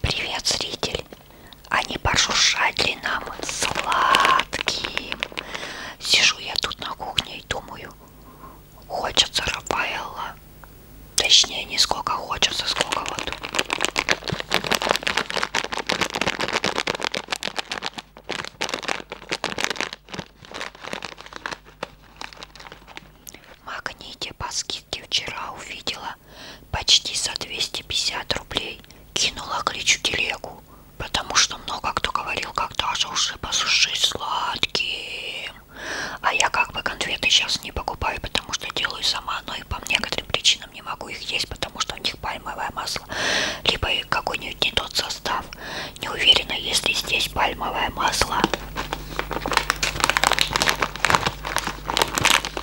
Привет, зритель! А не пошуршать ли нам сладким? Сижу я тут на кухне и думаю, хочется Рафаэлла. Точнее, не сколько хочется, сколько вот. Магните баски Никите вчера увидела почти за 250 рублей. Кинула кличу телегу, потому что много кто говорил, когда же уже посушить сладким. А я как бы конфеты сейчас не покупаю, потому что делаю сама, но и по некоторым причинам не могу их есть, потому что у них пальмовое масло, либо какой-нибудь не тот состав. Не уверена, если здесь пальмовое масло.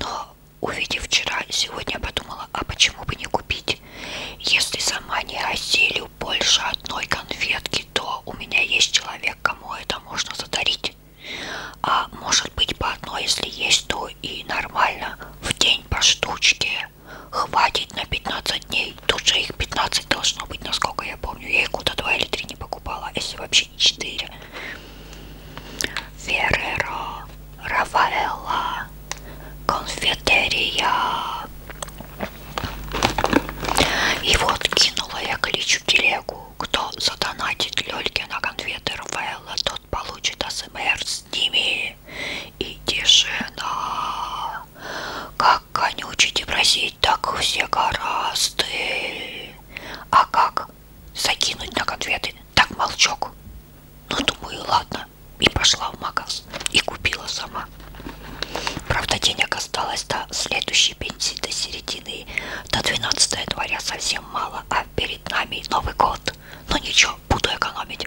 Но увидев вчера, сегодня подумала, а почему бы не купить? Если сама не осилю больше одной конфетки, то у меня есть человек, кому это можно задарить. А может быть по одной, если есть, то и нормально. В день по штучке хватит на 15 дней. Тут же их 15 должно быть, насколько я помню. Я их куда 2 или 3 не покупала, а если вообще не 4. Ферреро, Рафаэлла, конфетерия. И вот кинула я кличу телегу. Кто задонатит Лёльке на конфеты Рафаэлла, тот получит АСМР с ними. И тишина. Как конючите просить, так все гораздо. А как закинуть на конфеты? Так молчок. Ну, думаю, ладно. И пошла в магаз. И купила сама. Правда, денег осталось до следующей пенсии, до середины, до 12 января совсем мало, а перед нами Новый год идет. Но ничего, буду экономить.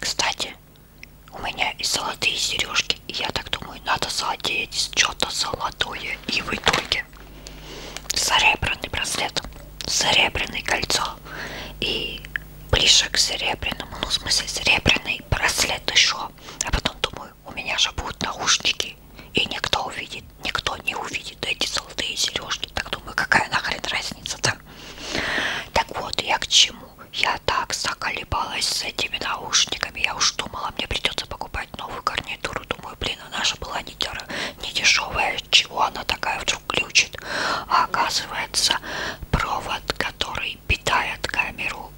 Кстати, у меня и золотые сережки, и я так думаю, надо задеть что-то золотое. И в итоге серебряный браслет, серебряное кольцо и ближе к серебряному, ну в смысле серебряный браслет еще. А потом думаю, у меня же будут наушники, и никто увидит никто не увидит эти золотые сережки. Так думаю, какая нахрен разница-то? Так вот, я к чему? Я так заколебалась с этими наушниками. Я уж думала, мне придется покупать новую гарнитуру. Думаю, блин, а наша была не, дер... не дешевая. Чего она такая вдруг глючит? А оказывается, провод, который питает камеру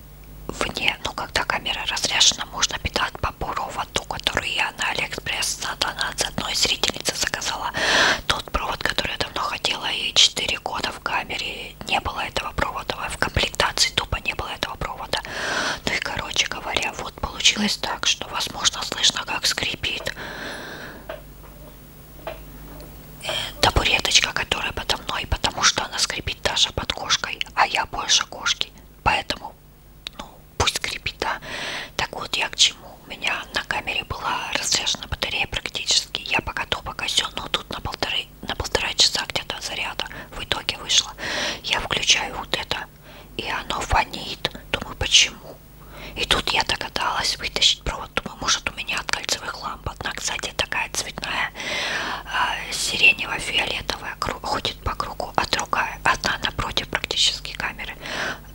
вне, ну когда камера разряжена, можно питать по бурову проводу, который я на Алиэкспресс за донат с одной зрительницы заказала. Тот провод, который я давно хотела, и 4 года в камере не было этого провода, в комплектации тупо не было этого провода. Ну и, короче говоря, вот получилось так, что, возможно, слышно, как скрипит э, табуреточка, которая подо мной, потому что она скрипит даже под кошкой, а я больше кошки. Поэтому ну, ну пусть скрипит, да. Так вот, я к чему? У меня на камере была разряжена батарея практически. Я пока то, пока все, но тут на полторы, на полтора часа где-то заряда в итоге вышло. Я включаю вот это, и оно фонит. Думаю, почему? И тут я догадалась вытащить провод. Думаю, может у меня от кольцевых ламп. Одна, кстати, такая цветная, а, сиренево-фиолетовая, ходит по кругу сбоку, а другая, одна напротив практически камеры,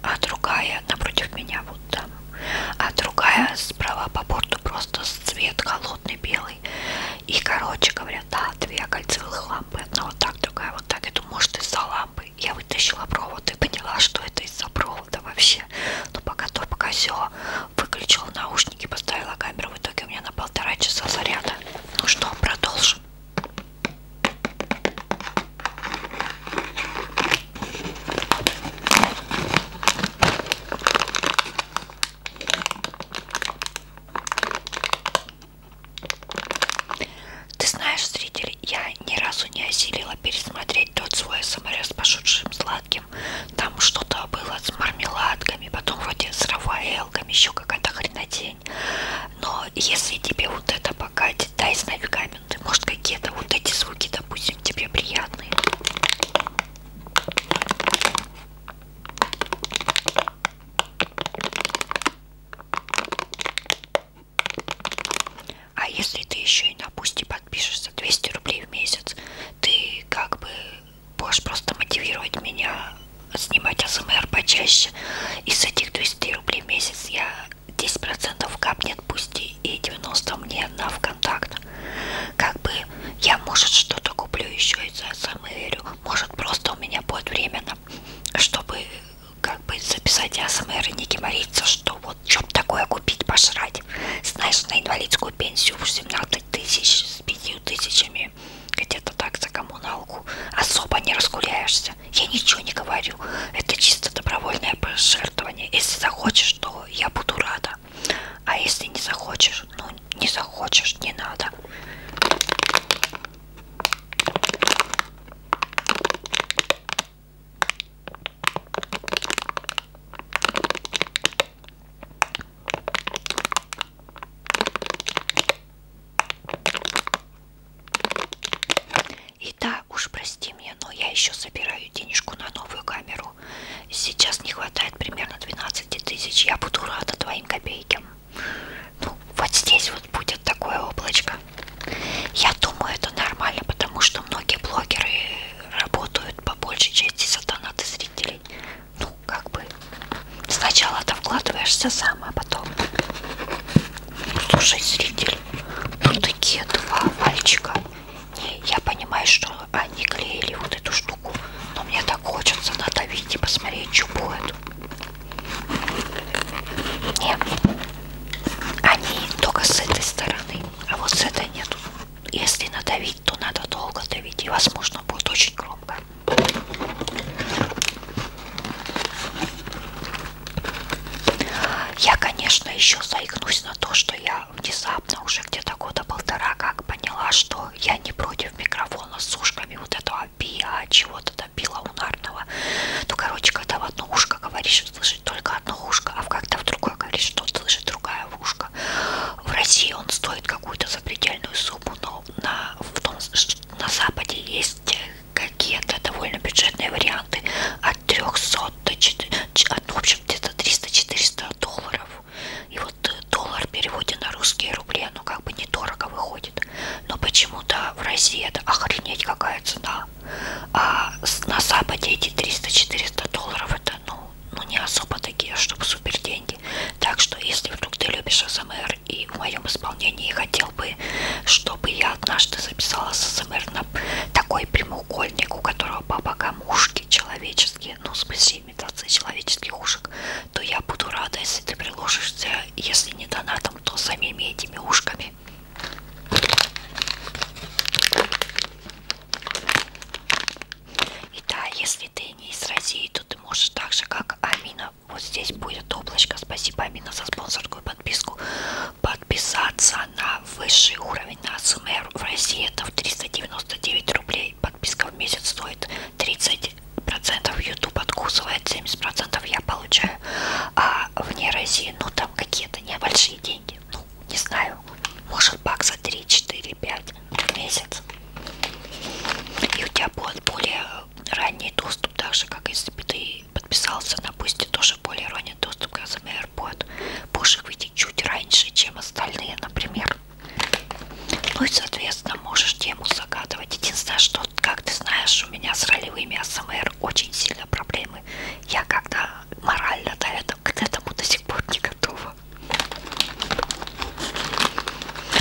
а другая напротив меня вот там, а другая справа по борту просто цвет холодный белый. И, короче говоря, да, две кольцевых лампы, одна вот так, другая вот так. Я думаю, может из-за лампы. Я вытащила провод и поняла, что это из-за провода вообще. Но пока то, пока все, выключила наушники, поставила камеру. В итоге у меня на полтора часа заряда. Ну что, продолжим. Ты знаешь, зритель, я ни разу не осилила пересмотреть тот свой СМР с пошутшим сладким. Там что-то было с мармеладками, потом вроде с рафаэлками, еще какая-то хренотень день. Но если тебе вот это покатит, дай знать в комменты. Может, какие-то вот эти звуки, допустим, тебе приятные. А если ты еще и на пусти подпишешься 200 рублей в месяц, ты как бы будешь просто мотивировать меня снимать АСМР почаще. Из этих 200 рублей в месяц я 10% капнет, пусть и 90 мне на ВКонтакт. Как бы я, может, что-то куплю еще из АСМР. Может, просто у меня будет временно, чтобы как бы записать АСМР и не геморриться, что вот что такое купить, пожрать. Знаешь, на инвалидскую пенсию в 17 тысяч с 5 тысячами армию, где-то так за коммуналку, особо не разгуляешься. Я ничего не говорю. Это чисто добровольное пожертвование. Если захочешь, то я буду рада. А если не захочешь, ну не захочешь, не надо. И да, уж прости меня, но я еще собираю денежку на новую камеру. Сейчас не хватает примерно 12 тысяч. Я буду рада твоим копейкам. Ну, вот здесь вот будет такое облачко. Я думаю, это нормально, потому что многие блогеры работают по большей части за донаты зрителей. Ну, как бы Сначала ты вкладываешься сам, а потом... Слушай, зритель, ну такие два мальчика. Не, я понимаю, что они клеили вот эту штуку, но мне так хочется надавить и посмотреть, что будет. Нет, они только с этой стороны, а вот с этой нет. Если надавить, то надо долго давить и, возможно, будет очень громко. Я, конечно, еще заикнусь на то, что я внезапно уже где-то года полтора как поняла, что я не против микрофона с ушками вот этого пиа, чего-то добила унарного. Ну, короче, когда в одно ушко говоришь, слышит только одно ушко, а когда в другое говоришь, что слышит другая ушко. В России он стоит какую-то запредельную сумму, но на, в том, на Западе есть какие-то довольно бюджетные варианты от 300 до 400, от, в общем, где-то 300-400 долларов. И вот э, доллар в переводе на русские рубли, ну как бы недорого выходит. Но почему-то в России это охренеть какая цена. А на Западе эти 300-400 долларов это, ну, ну, не особо такие, чтобы супер деньги. Так что, если вдруг ты любишь АСМР, и в моем исполнении хотел бы, чтобы я однажды записала ССМР на такой прямоугольник, у которого по бокам ушки человеческие, ну, в смысле имитация человеческих ушек, то я буду рада, если ты приложишься, если не донатом, то самими этими ушками. И да, если ты не из России, то ты можешь так же, как Амина, вот здесь будет облачко. Спасибо, Амина, за спонсорскую подписку. Подписаться на высший уровень на СМР в России это в 399 рублей. Подписка в месяц стоит 30%. YouTube откусывает 70%. Я получаю. А вне России, ну там какие-то небольшие деньги. Ну, не знаю. Может бакса 3, 4, 5 в месяц. И у тебя будет более ранний доступ, так же, как если бы ты подписался на Бусти, тоже более ранний доступ, как например, будет будешь выйти чуть раньше, чем остальные, например. Ну и, соответственно, можешь тему загадывать. Единственное, что, как ты знаешь, у меня с ролевыми АСМР очень сильно проблемы. Я когда морально до этого, к этому до сих пор не готова.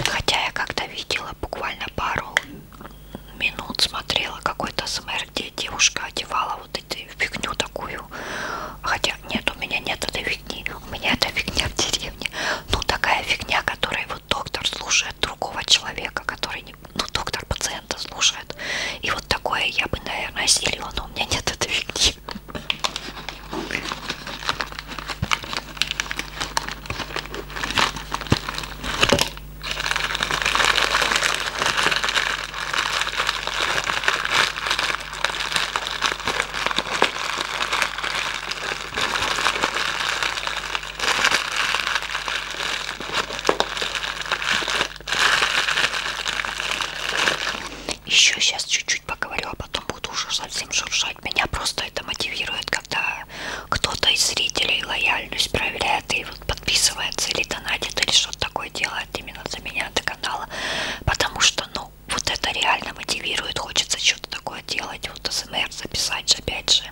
Хотя я как-то видела буквально пару минут смотрела какой-то СМР, где девушка одевала вот эту фигню такую. Хотя нет, у меня нет этой фигни. У меня эта фигня в деревне. Ну, такая фигня, которой вот доктор слушает другого человека, который не... Ну, доктор пациента слушает. И вот такое я бы, наверное, осилила, но у меня нет этой фигни. Еще сейчас чуть-чуть поговорю, а потом буду уже совсем шуршать делать. Меня просто это мотивирует, когда кто-то из зрителей лояльность проверяет и вот подписывается или донатит, или что-то такое делает именно за меня до канала. Потому что, ну, вот это реально мотивирует. Хочется что-то такое делать. Вот СМР записать, опять же,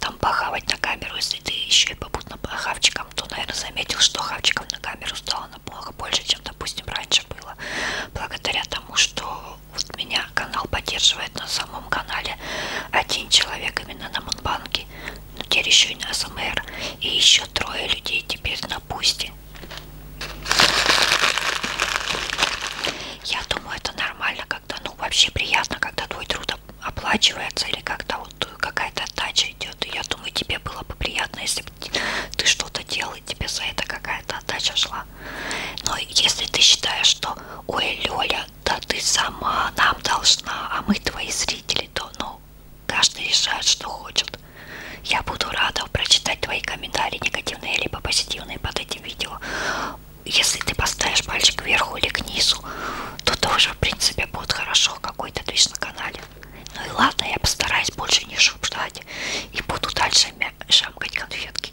там похавать на камеру. Если ты еще и попутно по хавчикам, то, наверное, заметил, что хавчиком на камеру стало намного больше, чем, допустим, раньше было. Благодаря тому, что вот меня канал поддерживает на самом канале один человек именно на Монбанке, но теперь еще и на СМР, и еще трое людей теперь на Пусти. Я думаю, это нормально, когда, ну, вообще приятно, когда твой труд оплачивается или как-то вот какая-то отдача идет. И я думаю, тебе было бы приятно, если бы ты что-то делал, и тебе за это какая-то отдача шла. Но если ты считаешь, что ой, Лёля, да ты сама нам должна, а мы твои зрители, то ну, каждый решает, что хочет. Я буду рада прочитать твои комментарии, негативные либо позитивные под этим видео. Если ты поставишь пальчик вверху или к низу, то тоже, в принципе, будет хорошо какой-то движ на канале. Ну и ладно, я постараюсь больше не шуршать и буду дальше шамкать конфетки.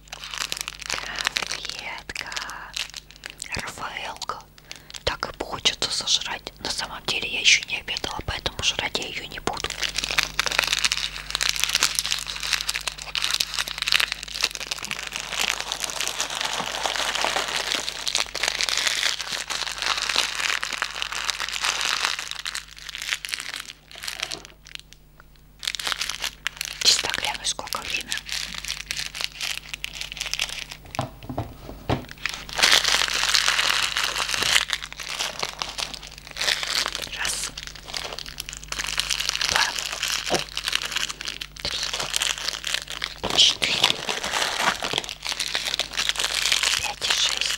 Ветка. РФЛ. Так и хочется сожрать. На самом деле я еще не обедала, поэтому жрать я ее не буду. Чисто гляну, сколько время. Раз, два, три, четыре, пять, шесть.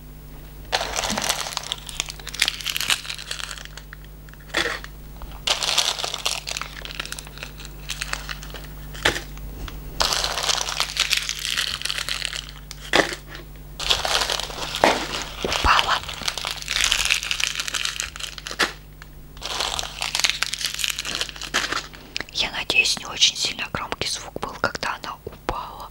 Упала. Я надеюсь, не очень сильно громкий звук был, когда она упала.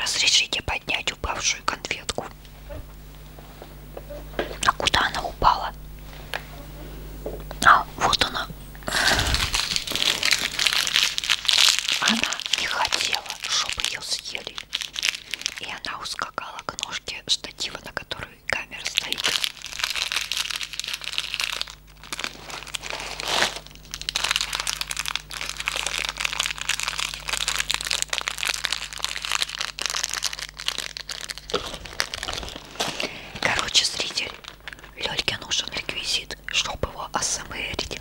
Разрешите поднять упавшую конфетку. А куда она упала? А, вот она. Она не хотела, чтобы ее съели. И она ускакала к ножке штатива, на которой камера стоит. Короче, зритель, Лёльке нужен реквизит, чтобы его осмерить.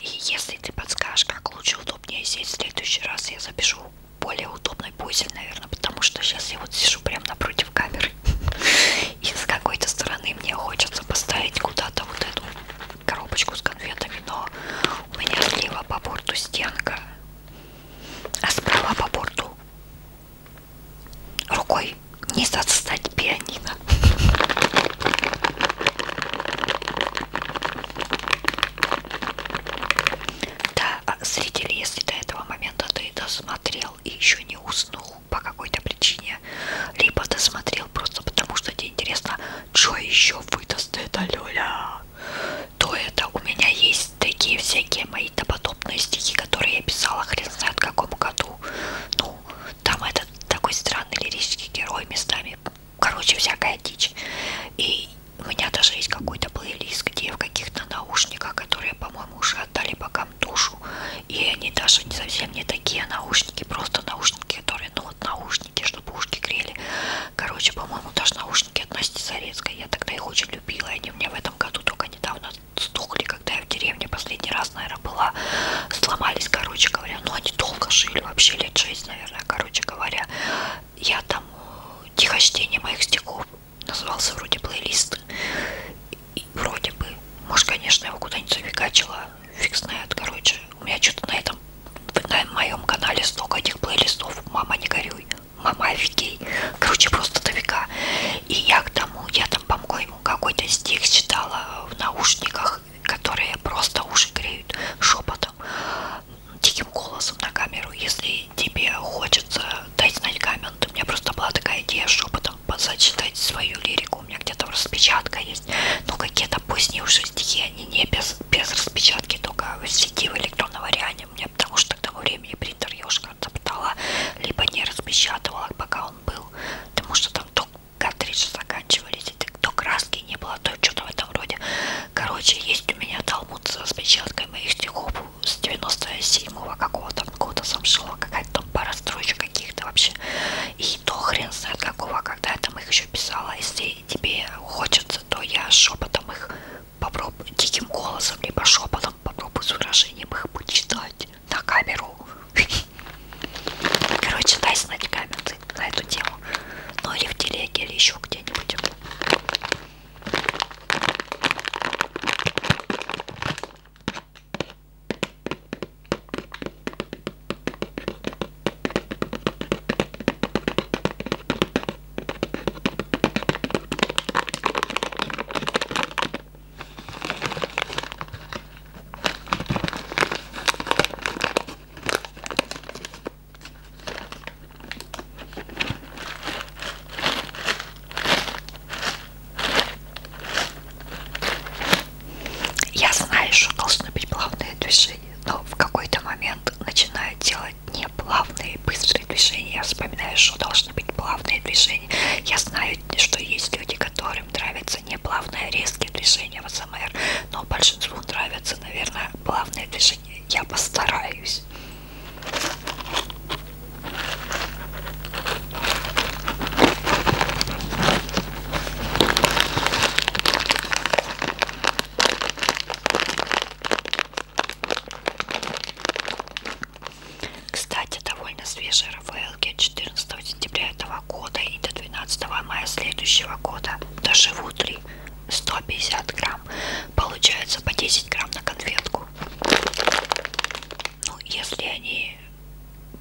И если ты подскажешь, как лучше удобнее сесть в следующий раз, я запишу более удобный пузель, наверное, потому что сейчас я вот сижу прямо напротив камеры. И с какой-то стороны мне хочется поставить куда-то вот эту коробочку с конфетами, но у меня слева по борту стенка, а справа по борту рукой не застать пианино. Да, а зрители, если до этого момента ты досмотрел и еще не уснул по какой-то причине, либо досмотрел просто потому, что тебе интересно, что еще выдаст эта Лёля, то это у меня есть такие всякие мои доподобные стихи, которые я писала хрен знает в каком году. Ну, ну, там этот такой странный лирический герой местами, короче, всякая дичь. И у меня даже есть какой-то плейлист, где в каких-то наушниках, которые, по-моему, уже отдали богам душу, и они даже не совсем не такие наушники, просто наушники, которые, ну вот наушники, чтобы ушки грели. Короче, по-моему, даже наушники от Насти Зарецкой, я тогда их очень любила, и они у меня в этом году только недавно стухли, когда я в деревне последний раз, наверное, была, сломались, короче говоря, ну они долго жили, вообще лет 6, наверное, короче говоря, я там э, тихочтение моих стихов назывался вроде плейлист, и вроде бы, может, конечно, его куда-нибудь зафигачила, фиг знает, короче, у меня что-то на этом, на моем канале столько этих плейлистов, мама не горюй, мама офигей, короче, просто до века, и я к тому, я там, по-моему, какой-то стих читала в наушниках, которые просто уши греют шепотом, диким голосом на камеру. Если тебе хочется дать знать коммент, у меня просто была такая идея шепотом зачитать свою лирику. У меня где-то распечатка есть. Ну, какие-то поздние уже стихи, они не без, без распечатки, только в сети в электронном варианте. У меня потому что к тому времени принтер я уже как-то либо не распечатывала, пока он был, потому что там то картриджи заканчивались, то краски не было, то что-то в этом роде. Короче, есть у меня талмуд с распечаткой моих стихов с 97-го какого-то года сам шла какая-то там пара строчек каких-то вообще. И то хрен знает какого, когда я там их еще писала. Если тебе хочется, то я шепотом их попробую, диким голосом, либо шепотом попробую с выражением их почитать снять на камеру. Короче, дай снять камеру на эту тему. Ну или в телеге, или еще где-нибудь. Я знаю, что должны быть плавные движения, но в какой-то момент начинаю делать не плавные быстрые движения. Я вспоминаю, что должны быть плавные движения. Я знаю, что есть люди, которым нравится не плавные резкие движения в СМР, но большинству нравятся, наверное, плавные движения. Я постараюсь. Кстати, довольно свежие рафаэлки 14 сентября этого года и до 12 мая следующего года доживут ли 150 грамм. Получается по 10 грамм на конфетку. Ну, если они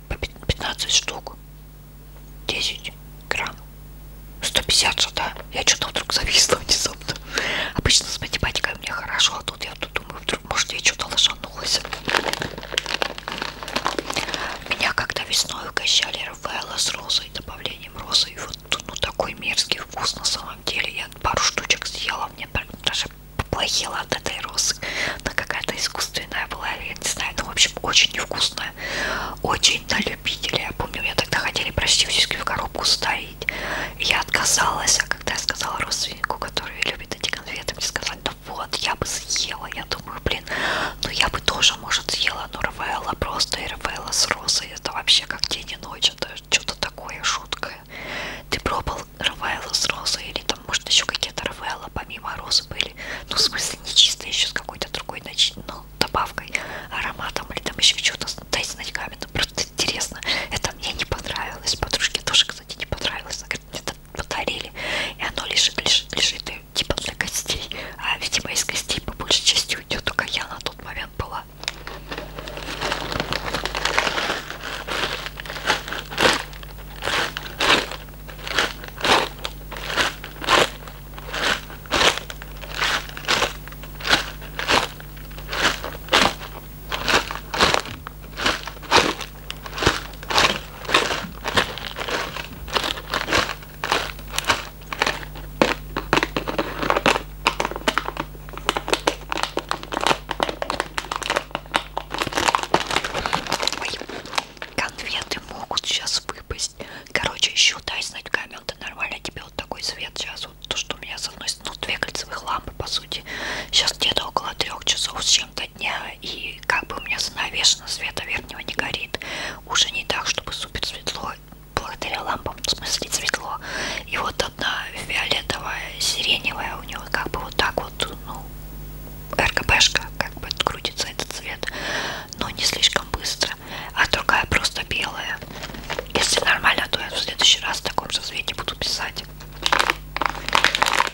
по 15 штук, 10 грамм. 150 же, да? Я что-то вдруг зависла внезапно. Обычно с математикой у меня хорошо, а тут я тут думаю, вдруг может, я что-то лошанулась. Меня когда весной угощали Рафаэла с розой, добавлением розы. И вот тут ну, такой мерзкий вкус на самом деле. Я пару штучек съела, мне даже поплохело от этой розы. Она какая-то искусственная была, я не знаю. Ну, в общем, очень невкусная. Очень на любителя. Я помню, меня тогда хотели практически в коробку ставить. Я отказалась, а когда я сказала родственнику, который любит эти конфеты, мне сказали, да вот, я бы съела, я думаю, блин, ну я бы тоже, может, съела, но РВЛ просто и РВЛ с розой, это вообще как день и ночь, это что-то такое жуткое. Ты пробовал РВЛ с розой или там, может, еще какие-то РВЛ помимо розы были, ну, в смысле, не чисто еще с какой-то другой нач... ну, добавкой, ароматом или там еще что-то, дайте знать камень, просто интересно, это мне не понравилось, подружке тоже, кстати, не понравилось, она говорит, это подарили, и оно лежит, лежит, э, лежит, типа для гостей, а видимо из гостей по большей части уйдет, только я на тот момент была. Ой, конфеты могут сейчас выпасть. Короче, еще дай знать в комменты, нормально тебе вот такой цвет сейчас. Вот то, что у меня с одной стороны, ну, две кольцевых лампы, по сути. Сейчас где-то около трех часов с чем-то дня, и как бы у меня занавешено, света верхнего не горит. Уже не так, чтобы супер светло, благодаря лампам, в смысле светло. И вот одна фиолетовая, сиреневая у него как бы вот так вот, ну, РКБшка, как бы крутится этот цвет, но не слишком быстро, а другая просто белая. Если нормально, то я в следующий раз в таком же цвете буду писать.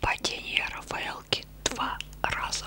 Падение Рафаэлки два раза.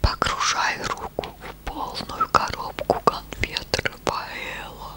Погружай руку в полную коробку конфет Рафаэла.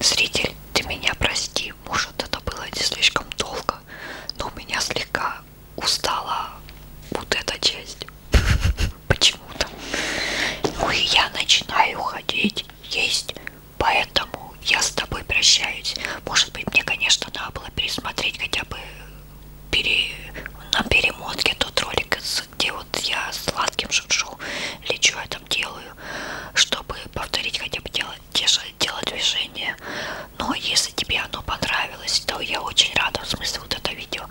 Зритель, ты меня прости, может это было не слишком долго много, но у меня слегка устала вот эта часть почему-то. Ну и я начинаю ходить есть, поэтому я с тобой прощаюсь. Может быть, мне, конечно, надо было пересмотреть хотя бы пере... на перемотке тот ролик, где вот я сладким шуршу лечу, я там делаю, чтобы повторить хотя бы дело те же телодвижения. Но если тебе оно понравилось, то я очень рада, в смысле, вот это видео.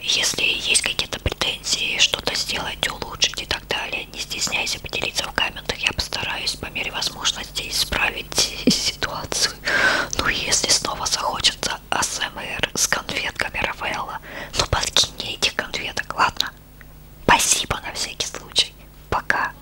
Если есть какие-то претензии, что-то сделать, улучшить и так далее, не стесняйся поделиться в комментах. Я постараюсь по мере возможности исправить ситуацию. Ну, если снова захочется АСМР с конфетками Рафаэла, ну подкинь мне этих конфеток, ладно? Спасибо на всякий случай. Пока.